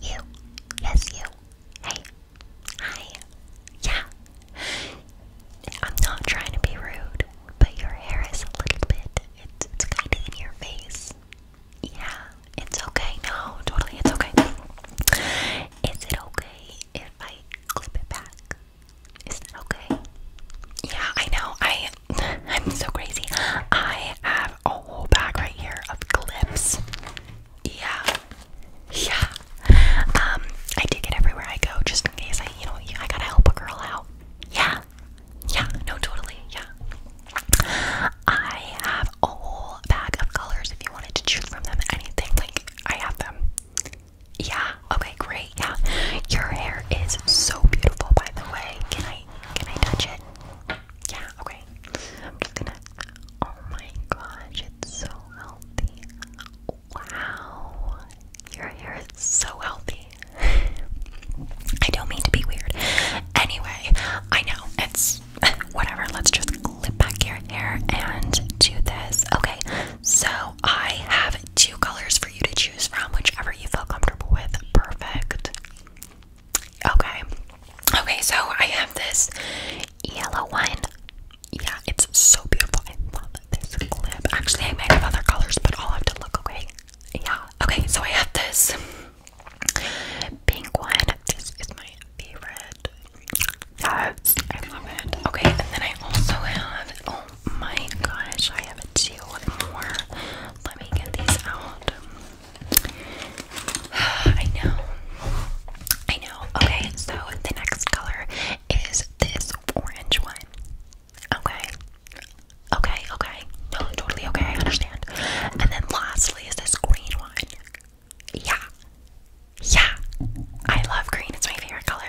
You. Yes, you. Hey. Hi. Yeah. I'm not trying to be rude, but your hair is a little bit, it's, it's kind of in your face. Yeah. It's okay. No, totally. It's okay. Is it okay if I clip it back? Is that okay? Yeah, I know. I I'm so crazy. I have a whole bag right here of clips. Yeah. Yeah. Um, I take it everywhere I go just in case I, you know, I gotta help a girl out. Yeah. Yeah. No, totally. Yeah. I have a whole bag of colors if you wanted to choose from them. Anything. Like, I have them. Yeah. Okay, great. Yeah. Your hair is so beautiful, by the way. Can I, can I touch it? Yeah, okay. I'm just gonna. Oh my gosh, it's so healthy. Wow, your hair is so healthy. I don't mean to be weird. Anyway, I know it's whatever. Let's just clip back your hair and do this. Okay, so I have two colors for you to choose from, whichever you feel comfortable with. Perfect. Okay. Okay, so I have this yellow one. Yeah, it's so beautiful. I love this clip. Actually, I might have other colors, but I'll have to look, okay? Yeah. Okay, so I have this pink one. This is my favorite. Yes, I love it. Okay, and then I also have, oh, my gosh, I have two more. Let me get these out. I know. I know. Okay, so the next color is this orange one. Okay. Okay, okay. No, totally okay. I understand. And then lastly is this green one. Yeah. Yeah. I love green. It's my favorite color.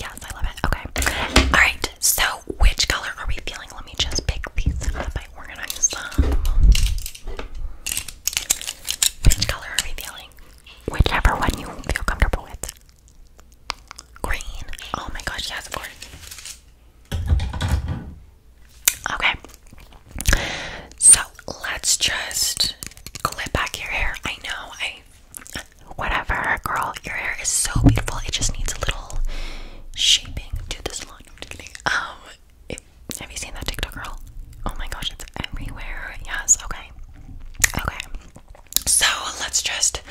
Yes, I love it. Okay. Alright, so which color are we feeling? Let me just pick these up. I organize them. Which color are we feeling? Whichever one you feel comfortable with. Green. Oh my gosh, yes, of course. Okay. So let's just clip back your hair. I know I whatever, girl. Your hair is so beautiful. It just needs a little shaping to this line. Um, have you seen that TikTok girl? Oh my gosh, it's everywhere. Yes. Okay. Okay. So let's just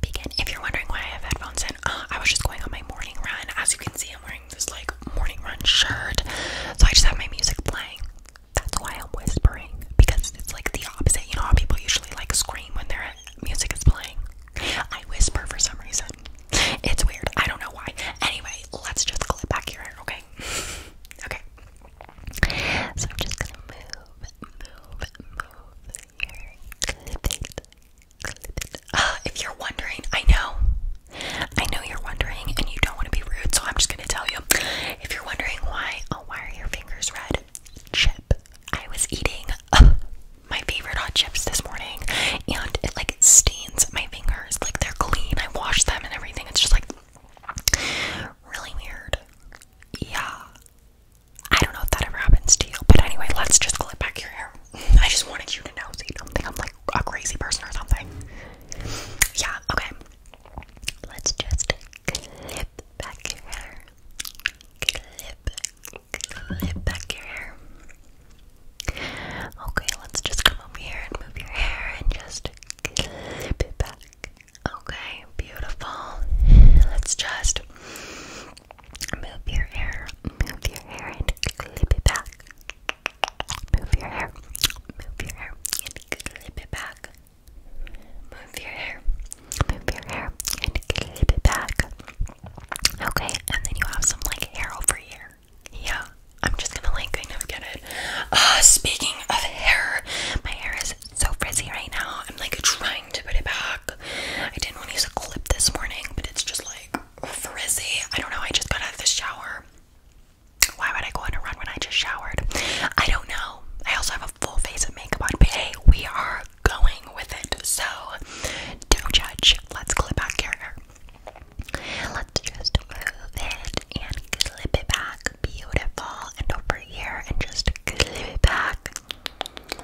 begin. If you're wondering why I have headphones in, uh, I was just going on my morning run. As you can see, I'm wearing this like morning run shirt. So I just have my music playing. That's why I'm whispering because it's like the opposite. You know how people usually like scream when their music is playing? I whisper for some reason. It's weird. I don't know why. Anyway, let's just clip back your hair, okay? okay. So I'm just gonna move, move, move Clip it. Clip it. Uh, if you're wondering, I know. I know you're wondering and you don't want to be rude, so I'm just gonna tell you. If you're wondering why, oh, why are your fingers red? Chip. I was eating my favorite hot chips this morning and it like stains my fingers. Like they're clean. I washed them and everything. It's just like really weird. Yeah. I don't know if that ever happens to you, but anyway, let's just clip back your hair. I just wanted you to know so you don't think I'm like a crazy person or something. Yeah, okay. Let's just clip back your hair. Clip, clip back your hair. Okay, let's just come over here and move your hair and just clip it back. Okay, beautiful. Let's just move your hair, move your hair and clip it back. Move your hair. Move your hair and clip it back. Move your hair. Move your hair and clip it back. Okay, and then you have some like hair over here. Yeah, I'm just gonna like kind of get it. Uh, speaking of hair, my hair is so frizzy right now. I'm like trying to put it back. I didn't want to use a clip this morning, but it's just like frizzy. I don't know. I just got out of the shower. Why would I go on a run when I just showered? I don't know. I also have a full face of makeup on, but hey, we are going with it. So don't judge. Let's clip back here. Let's just move it and clip it back. Beautiful. And over here and just clip it back.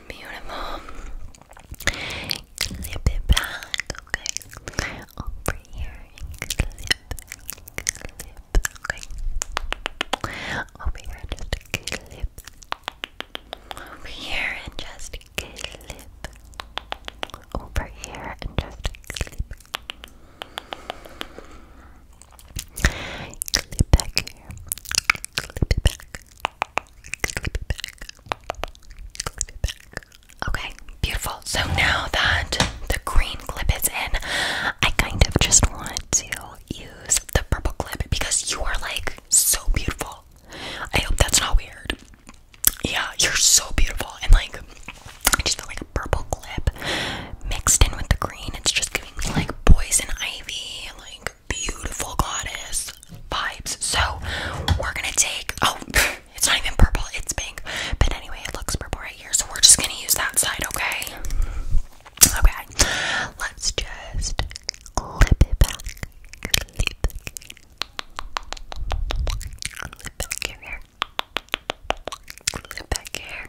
Beautiful. Clip it back, okay? Over here and clip, clip, okay? Over here, just clip. Over here and just clip. Over here and just clip. Clip back Clip it back. Okay, beautiful. So now that the green clip is in, I kind of just want to use the purple clip because you are like so beautiful. I hope that's not weird. Yeah, you're so beautiful. And like, I just feel like a purple clip mixed in with the green. It's just giving me like poison ivy, like beautiful goddess vibes. So we're gonna take oh it's not even purple, it's pink. But anyway, it looks purple right here, so we're just gonna use that side, okay? Okay, let's just clip it back. Clip it. Clip back here. Clip back here.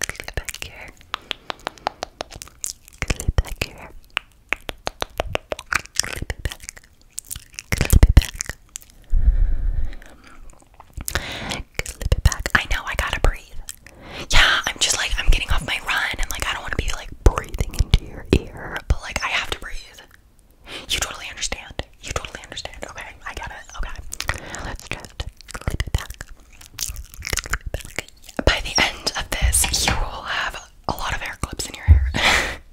Clip back here. Clip back here. Clip it back. Clip it back. Clip it back. I know I gotta breathe. Yeah, I'm just like I'm getting off my run and like I don't wanna be like breathing into your ear, but like I have to breathe. You totally understand. You totally understand. Okay, I got to Okay. Let's just clip it back. By the end of this, you will have a lot of hair clips in your hair.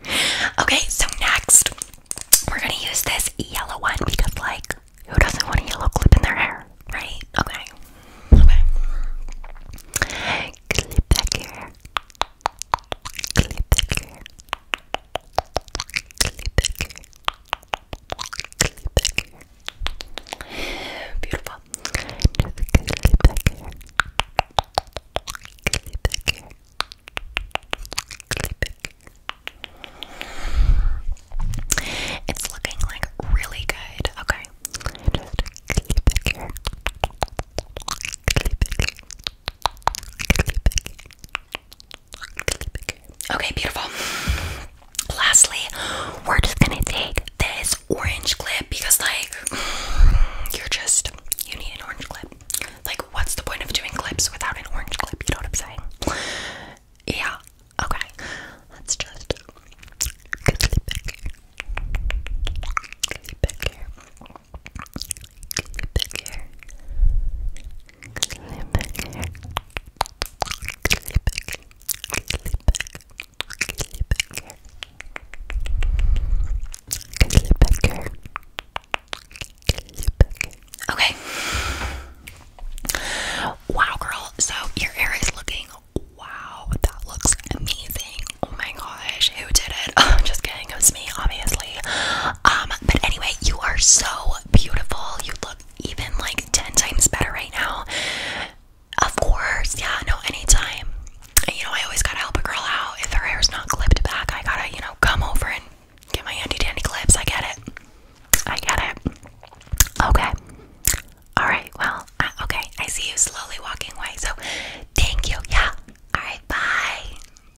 okay, so next, we're gonna use this yellow one because, like, who doesn't want a yellow clip in their hair, right? Okay, okay. Beautiful. Just cuddly back here. Cuddly It's looking like really good. Okay. Just cuddly back Okay, beautiful. Lastly, we're just gonna take this orange clip because, like, you're just you need an orange clip. Like, what's the point of doing clips without an orange clip? You know what I'm saying? Yeah. Okay. Let's just Okay. Wow, girl. So your hair is looking. Wow, that looks amazing. Oh my gosh, who did it? Oh, just kidding, it was me, obviously. Um, but anyway, you are so beautiful. You look even like 10 times better right now. Of course, yeah, no, anytime. you know, I always gotta help a girl out. If her hair's not clipped back, I gotta, you know, come over and get my handy dandy clips. I get it. I get it. Okay. Alright, well, uh, okay, I see you slowly walking away, so thank you. Yeah. Alright, bye.